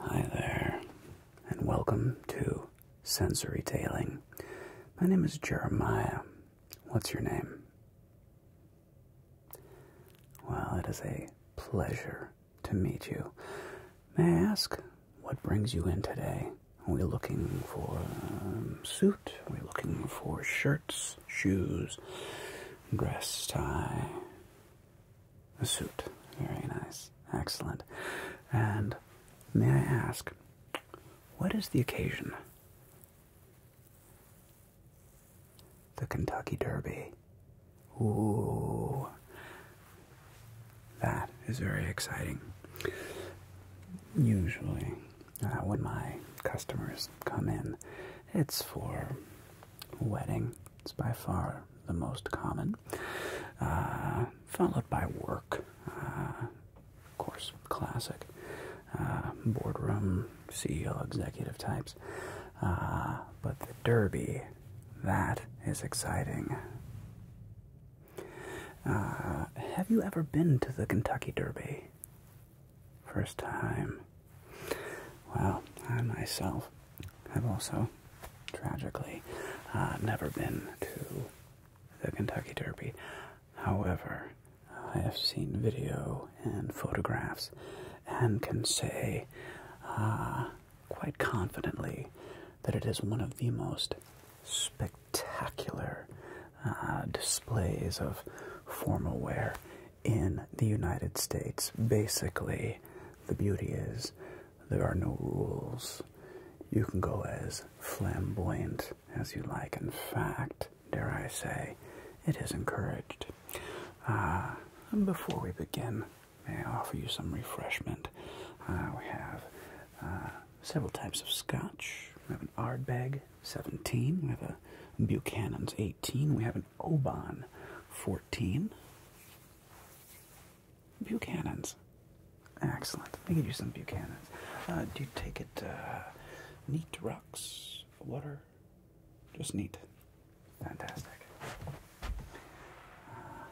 Hi there, and welcome to Sensory Tailing. My name is Jeremiah. What's your name? Well, it is a pleasure to meet you. May I ask what brings you in today? We're looking for um, suit. We're looking for shirts, shoes, dress, tie, a suit. Very nice. Excellent. And may I ask, what is the occasion? The Kentucky Derby. Ooh, that is very exciting. Usually, uh, when my customers come in, it's for wedding. It's by far the most common, uh, followed by work. Uh, of course, classic boardroom CEO executive types. but the Derby, that is exciting. Uh, have you ever been to the Kentucky Derby? First time. Well, I myself have also, tragically, uh, never been to the Kentucky Derby. However, I have seen video and photographs and can say uh, quite confidently that it is one of the most spectacular uh, displays of formal wear in the United States. Basically, the beauty is there are no rules. You can go as flamboyant as you like. In fact, dare I say, it is encouraged. Uh, before we begin, I offer you some refreshment? Uh, we have several types of scotch. We have an Ardbeg 17, we have a Buchanan's 18, we have an Oban 14. Buchanan's. Excellent. We could use some Buchanan's. Uh, do you take it uh, neat rocks, water? Just neat. Fantastic. Uh,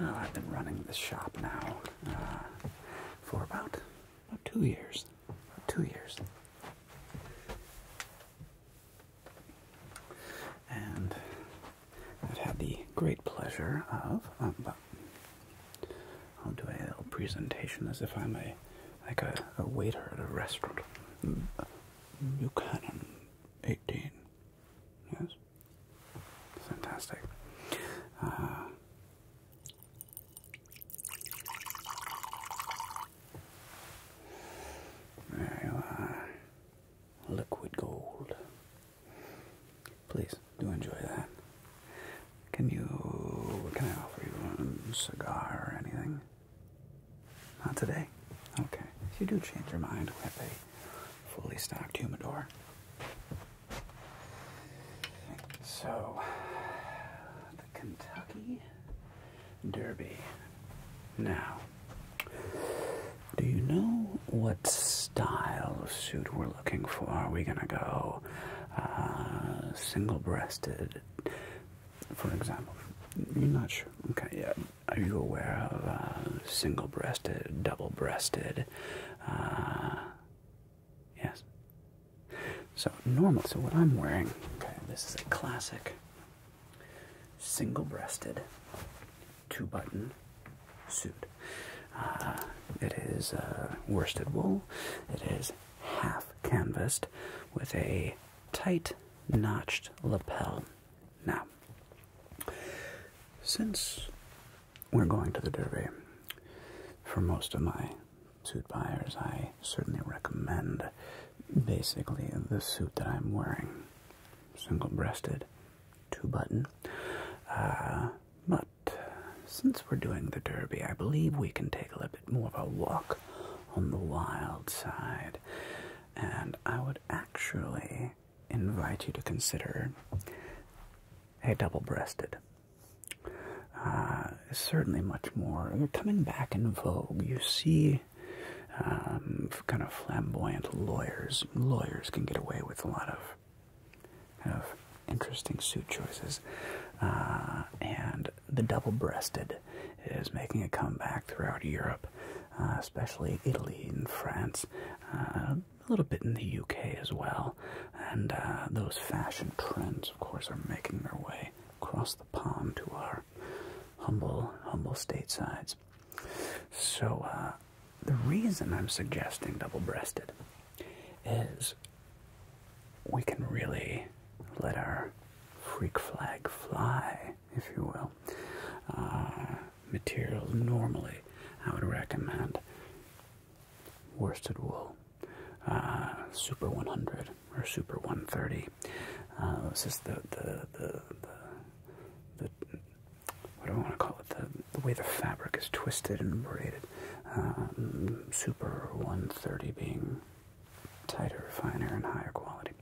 well, I've been running this shop now uh, for about, two years. two years. And I've had the great pleasure of. Um, I'll do a little presentation as if I'm a like a, a waiter at a restaurant. Buchanan, mm, uh, eighteen. Yes. Fantastic. there you are. Liquid gold. Please do enjoy that. Can you can I offer you a um, cigar or anything? Not today. Okay. If you do change your mind, we have a fully stocked humidor. So, the Kentucky Derby. Now, do you know what style of suit we're looking for? Are we going to go uh, single breasted, for example? You're not sure. Okay, yeah. Are you aware of uh, single breasted, double breasted? Uh, yes. So normal. so what I'm wearing, okay, this is a classic single-breasted two-button suit. Uh, it is uh, worsted wool. It is half canvassed, with a tight notched lapel. Now, since we're going to the Derby. For most of my suit buyers, I certainly recommend basically the suit that I'm wearing single breasted, two button. Uh, but since we're doing the Derby, I believe we can take a little bit more of a walk on the wild side. And I would actually invite you to consider a double breasted. Uh, certainly much more. They're coming back in vogue. You see um, kind of flamboyant lawyers. Lawyers can get away with a lot of of interesting suit choices. Uh, and the double breasted is making a comeback throughout Europe, uh, especially Italy and France a little bit in the UK as well. And uh, those fashion trends, of course, are making their way across the pond to our humble, humble statesides. So, uh, the reason I'm suggesting double breasted is we can really let our freak flag fly, if you will. Uh, materials. Normally, I would recommend worsted wool, uh, Super 100 or Super 130. Uh, this is the the the the, what do I want to call it? The, the way the fabric is twisted and braided. Um, Super 130 being tighter, finer, and higher quality.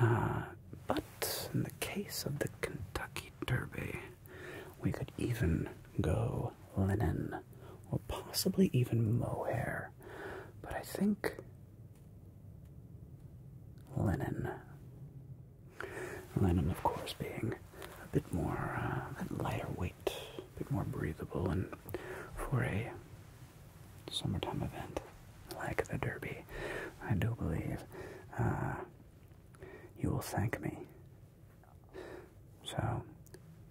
Uh, but in the case of the Kentucky derby. We could even go linen or possibly even mohair, but I think linen. Linen, of course, being a bit more, uh, lighter weight, a bit more breathable, and for a summertime event like the Derby, I do believe uh, you will thank me. So,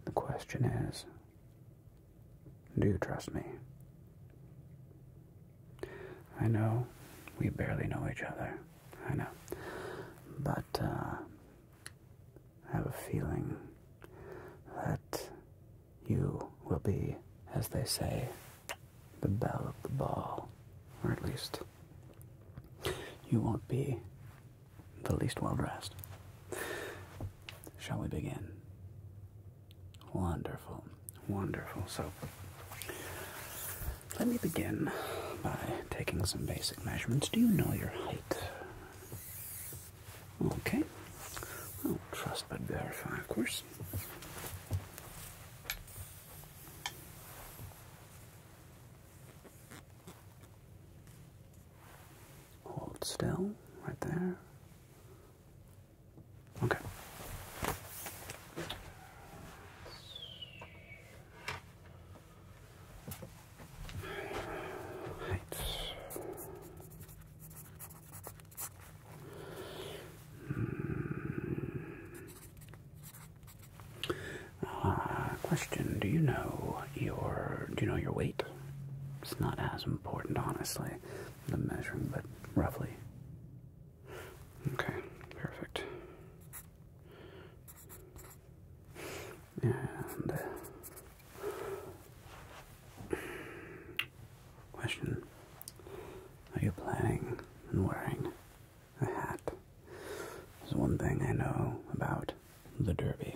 the question is do you trust me? I know we barely know each other. I know. But uh, I have a feeling that you will be, as they say, the belle of the ball, or at least you won't be the least well dressed. Shall we begin? Wonderful, wonderful. So, let me begin by taking some basic measurements. Do you know your height? Okay. Well, trust but verify, of course. Hold still, right there. Okay. Right. Mm. Uh, question: Do you know your do you know your weight? It's not as important, honestly, the measuring, but roughly. Okay, perfect. And uh, question: Are you planning on wearing a hat. There's one thing I know about the Derby.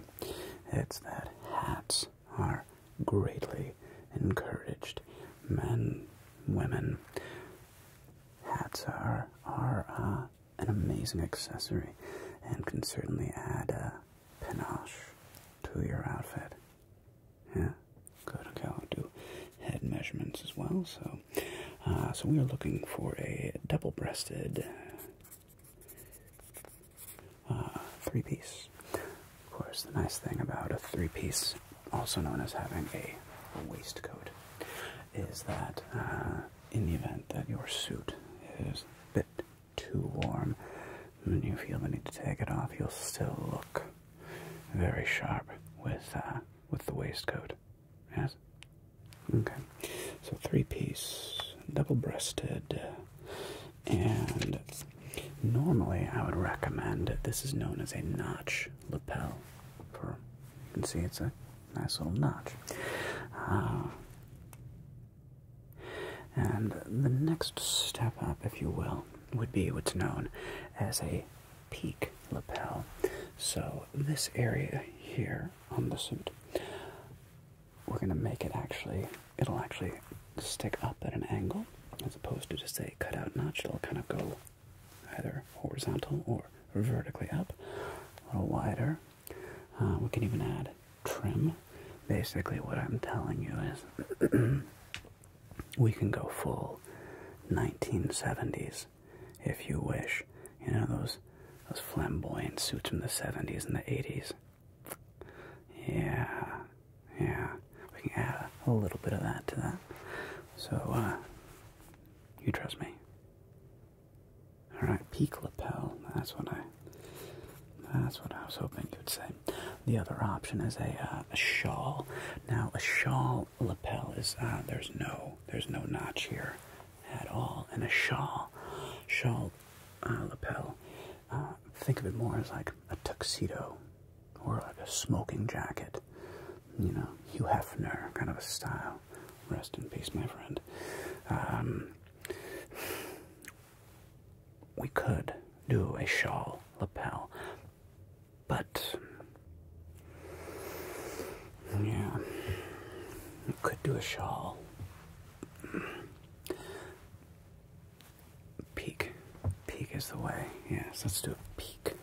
It's that hats are greatly encouraged. Men, women, hats are are uh, an amazing accessory and can certainly add a panache to your outfit. Yeah, good. Okay, i do head measurements as well, so uh, so, we are looking for a double-breasted uh, three-piece. Of course, the nice thing about a three-piece, also known as having a, waistcoat, is that uh, in the event that your suit is a bit too warm, when you feel the need to take it off, you'll still look very sharp with with the waistcoat. Yes, Okay, so three piece, double breasted, and normally I would recommend this is known as a notch lapel. For you can see it's a nice little notch. Ah. and the next step up, if you will, would be what's known as a peak lapel. So, this area here on the suit, we're going to make it actually, it'll actually stick up at an angle as opposed to just a cutout notch. It'll kind of go either horizontal or vertically up, a little wider. Uh, we can even add trim. Basically, what I'm telling you is we can go full 1970s if you wish. You know those those flamboyant suits from the '70s and the '80s. Yeah, yeah. We can add a, little bit of that to that. So, uh, you trust me. All right, peak lapel. That's what I. That's what I was hoping you'd say. The other option is a, uh, a shawl. Now, a shawl lapel is uh, there's no there's no notch here at all, and a shawl, shawl uh, lapel. Uh, think of it more as like a tuxedo or like a smoking jacket, you know, Hugh Hefner kind of a style. Rest in peace, my friend. Um, we could do a shawl lapel, but yeah. Could do a shawl. Peak. Peak is the way. Yes, let's do a peak.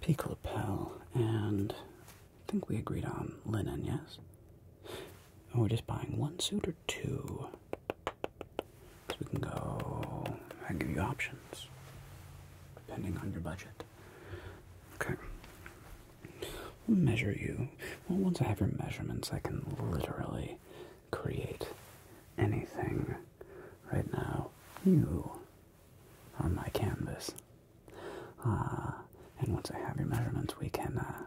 Peak lapel. And I think we agreed on linen, yes? And we're just buying one suit or two. So we can go. I give you options. Depending on your budget. Okay measure you. once I have your measurements, I can literally create anything. Right now, you on my canvas. Uh, and once I have your measurements, we can uh,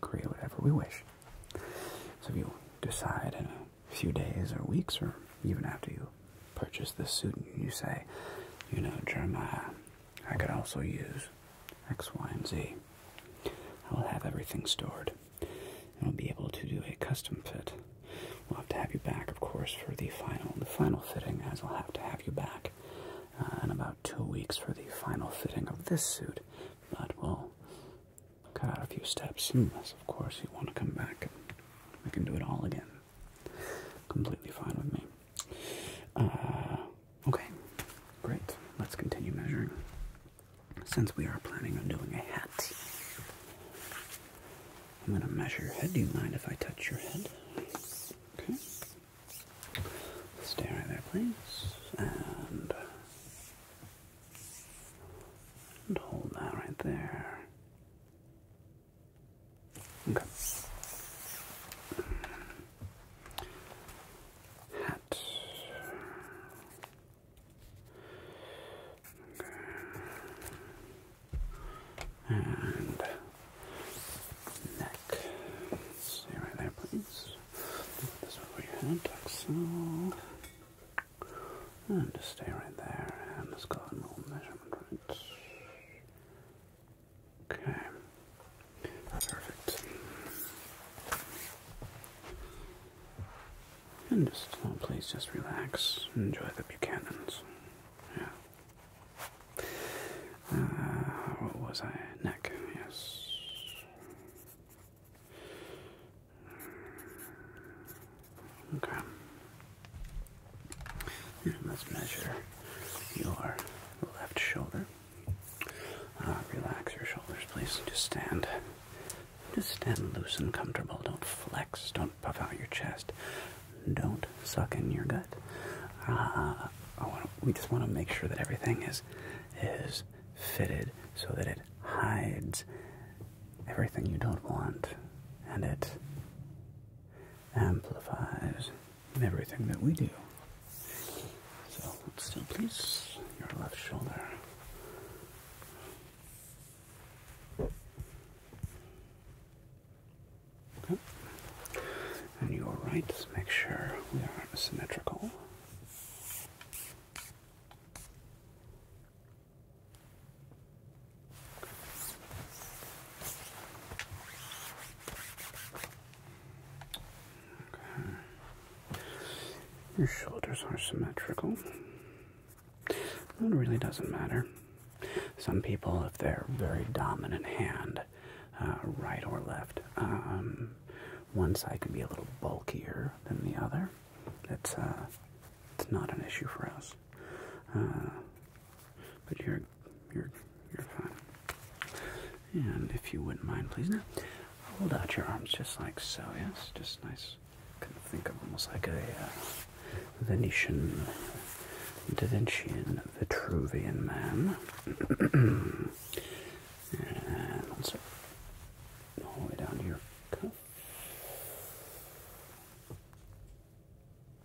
create whatever we wish. So if you decide in a few days or weeks or even after you purchase this suit and you say, you know, Jeremiah, I could also use X, Y, and Z. I will have everything stored and we'll be able to do a custom fit. We'll have to have you back, of course, for the final the final fitting, as we will have to have you back uh, in about two weeks for the final fitting of this suit. But we'll cut out a few steps, unless, of course, you want to come back. We can do it all again completely fine with me. Uh, okay, great. Let's continue measuring. Since we are planning on doing a hat, I'm going to measure your head. Do you mind if I touch your head? Okay. Stay right there, please. And, and hold that right there. Okay. Hat. And neck. Stay right there, please. This is what we had, so. And just stay right there, and let's go and roll measurement Okay. Perfect. And just uh, please just relax. Enjoy the Buchanans. Yeah. Uh, what was I? Neck, yes. Okay let's measure your left shoulder. Uh, relax your shoulders, please. Just stand. Just stand loose and comfortable. Don't flex. Don't puff out your chest. Don't suck in your gut. Uh, we just want to make sure that everything is is fitted so that it hides everything you don't want and it amplifies everything that we do. So let's still please your left shoulder. Okay. And your right, Just make sure we are symmetrical. Your shoulders are symmetrical. That really doesn't matter. Some people, if they're very dominant hand, uh, right or left, um, one side can be a little bulkier than the other. It's uh, it's not an issue for us. Uh, but you're you're, you're fine. And if you wouldn't mind, please now, hold out your arms just like so, yes? Just nice. I can think of almost like a uh, Venetian, Da Vincian, Vitruvian man. and also, all the way down to your cuff.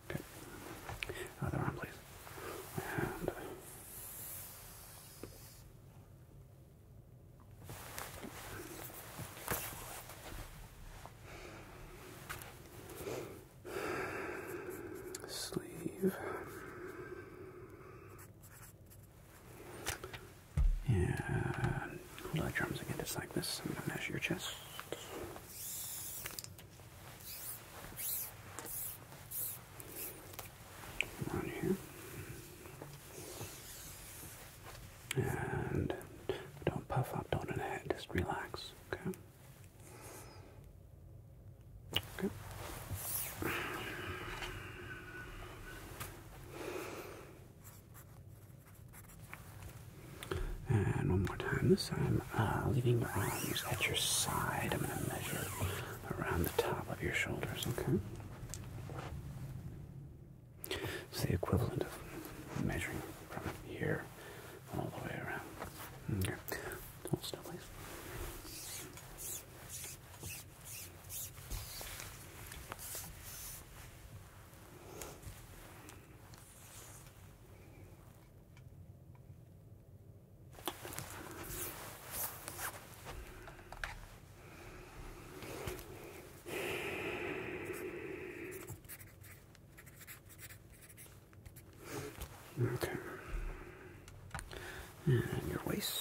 Okay. Other arm, please. And sleeve. And hold out your arms again, just like this. I'm going to measure your chest. Around here. And don't puff up, don't inhale, just relax, okay? Okay. And one more time, this time, uh, leaving your arms at your side. I'm going to measure around the top of your shoulders, okay? It's the equivalent of measuring from here all the way around. Okay. Hold still, please. Okay. And your waist.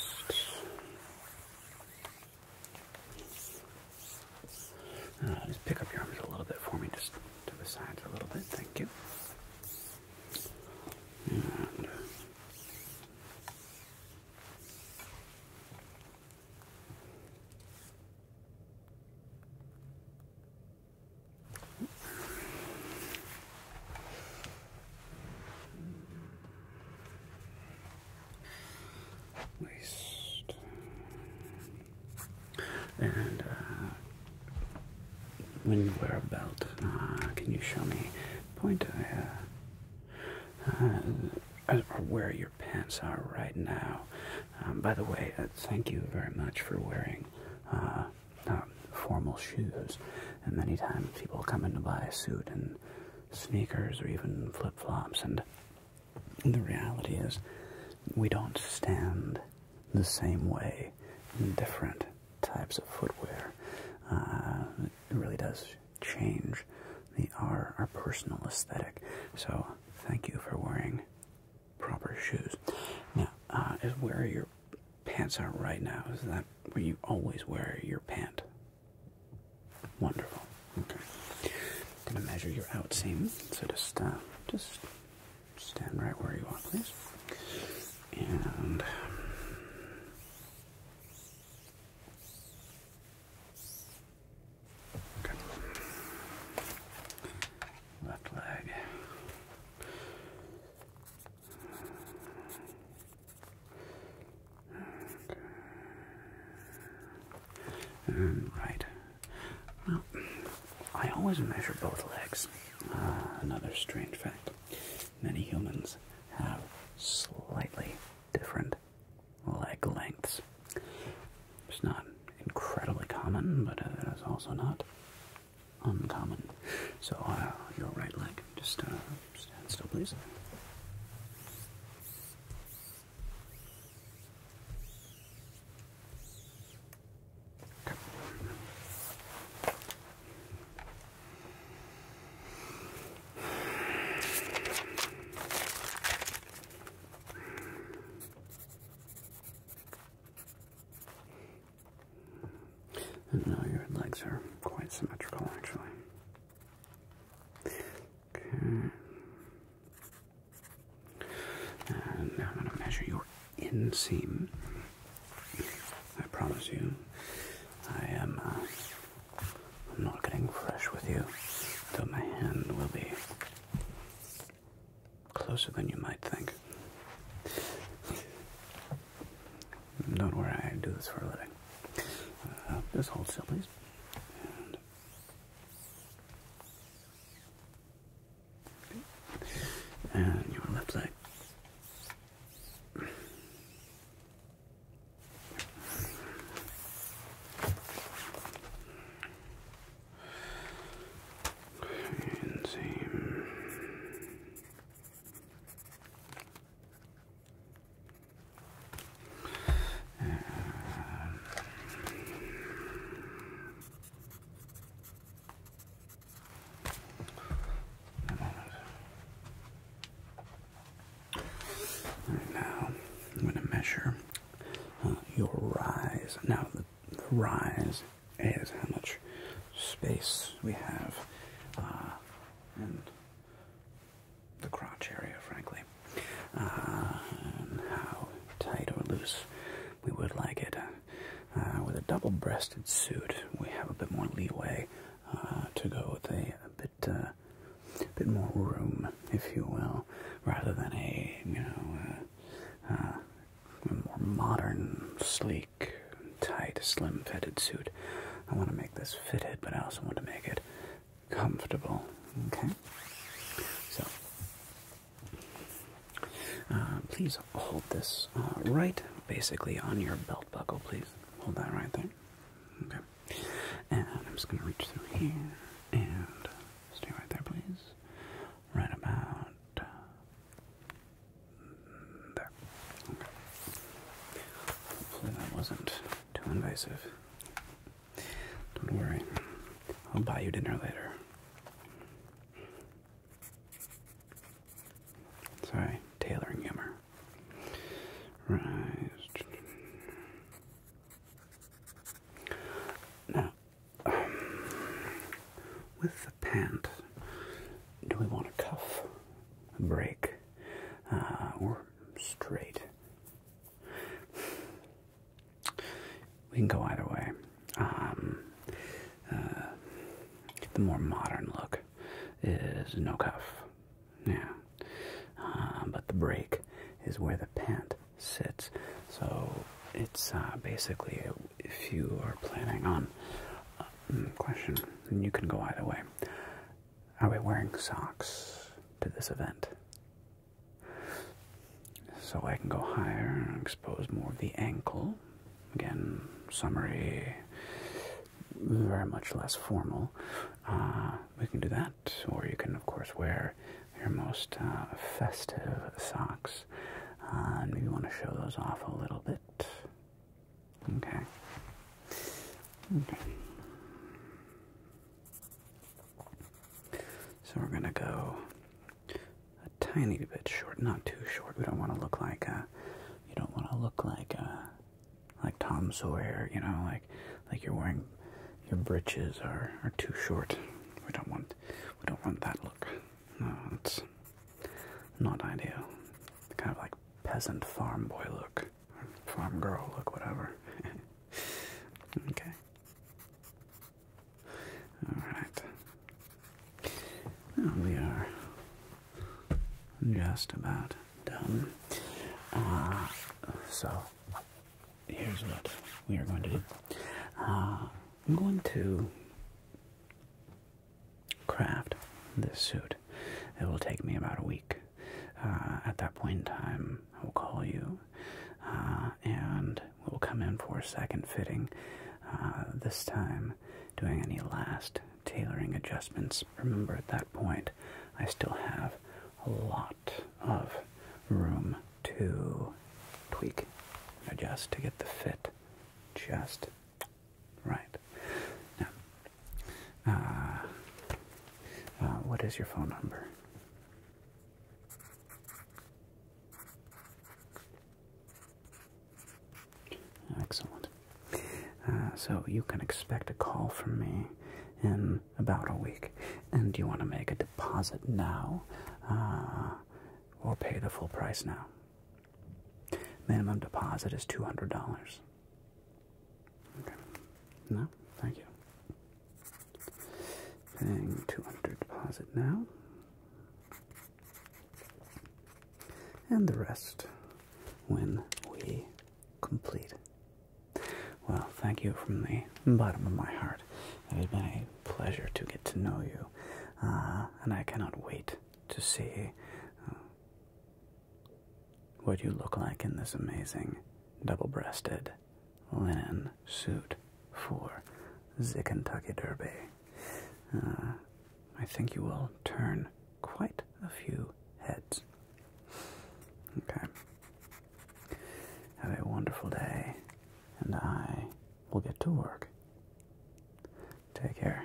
Uh, just pick up your arms a little bit for me. Just to the sides a little bit, thank you. And uh, and uh, when you wear a belt, uh, can you show me point uh, where your pants are right now? Um, by the way, thank you very much for wearing formal shoes. And many times people come in to buy a suit and sneakers or even flip flops, and the reality is we don't stand the same way in different types of footwear. Uh, it really does change the our, personal aesthetic. So thank you for wearing proper shoes. Now, uh, is where your pants are right now, is that where you always wear your pant? Wonderful. Okay. Gonna measure your outseam. So just, uh, just stand right where you are, please. And left leg. And right. Well, I always measure both legs. Uh, another strange fact many humans have slightly different leg lengths. It's not incredibly common, but it is also not uncommon. So, uh, your right leg, just uh, stand still, please. Okay. And now your legs are quite symmetrical, actually. Okay. And I'm going to measure your inseam. I promise you, I am. Uh, I'm not getting fresh with you, though my hand will be closer than you might think. Don't worry, I do this for a living. Uh, just hold still, please. And your left leg. And same. And now, I'm going to measure uh, your rise. Now, the, rise is how much space we have uh, in the crotch area, frankly, uh, and how tight or loose we would like it. Uh, uh, with a double-breasted suit, we have a bit more leeway uh, to go with a, bit, bit more room, if you will, rather than a you know more modern, sleek, tight, slim-fitted suit. I want to make this fitted, but I also want to make it comfortable. Okay, so uh, please hold this uh, right, basically on your belt buckle. Please hold that right there. Okay. And I'm just gonna reach through here and stay right there, please. Right about uh, there. Hopefully that wasn't too invasive. Don't worry. I'll buy you dinner later. Sorry, tailoring humor. Right. Now, um, with the pant, do we want a cuff, a break, uh, or straight? we can go either way. Um, uh, the more modern look is no cuff, yeah. Uh, but the break is where the pant sits. So it's uh, basically if you are planning on a um, question, you can go either way. Are we wearing socks to this event? So I can go higher and expose more of the ankle. Again, summary, very much less formal. Uh, we can do that, or you can, of course, wear your most uh, festive socks. Uh, and maybe want to show those off a little bit. Okay. Okay. So we're going to go a tiny bit short, not too short. We don't want to look like a, uh, you don't want to look like a, uh, like Tom Sawyer, you know, like like you're wearing your breeches are are too short. We don't want we don't want that look. No, it's not ideal. Kind of like peasant farm boy look, farm girl look, whatever. okay. All right. we are just about done. Uh, so, here's what we are going to do. Uh, I'm going to craft this suit. It will take me about a week. Uh, at that point in time, I will call you and We'll come in for a second fitting, uh, this time doing any last tailoring adjustments. Remember, at that point, I still have a lot of room to tweak adjust to get the fit just right. Now, uh, uh, what is your phone number? Excellent. Uh, so you can expect a call from me in about a week. And you want to make a deposit now uh, or pay the full price now? Minimum deposit is $200. Okay. No? Thank you. Paying 200 deposit now and the rest when we complete. Well, thank you from the bottom of my heart. It has been a pleasure to get to know you, uh, and I cannot wait to see uh, what you look like in this amazing double breasted linen suit for the Kentucky Derby. Uh, I think you will turn quite a few heads. Okay. Have a wonderful day, and I will get to work. Take care.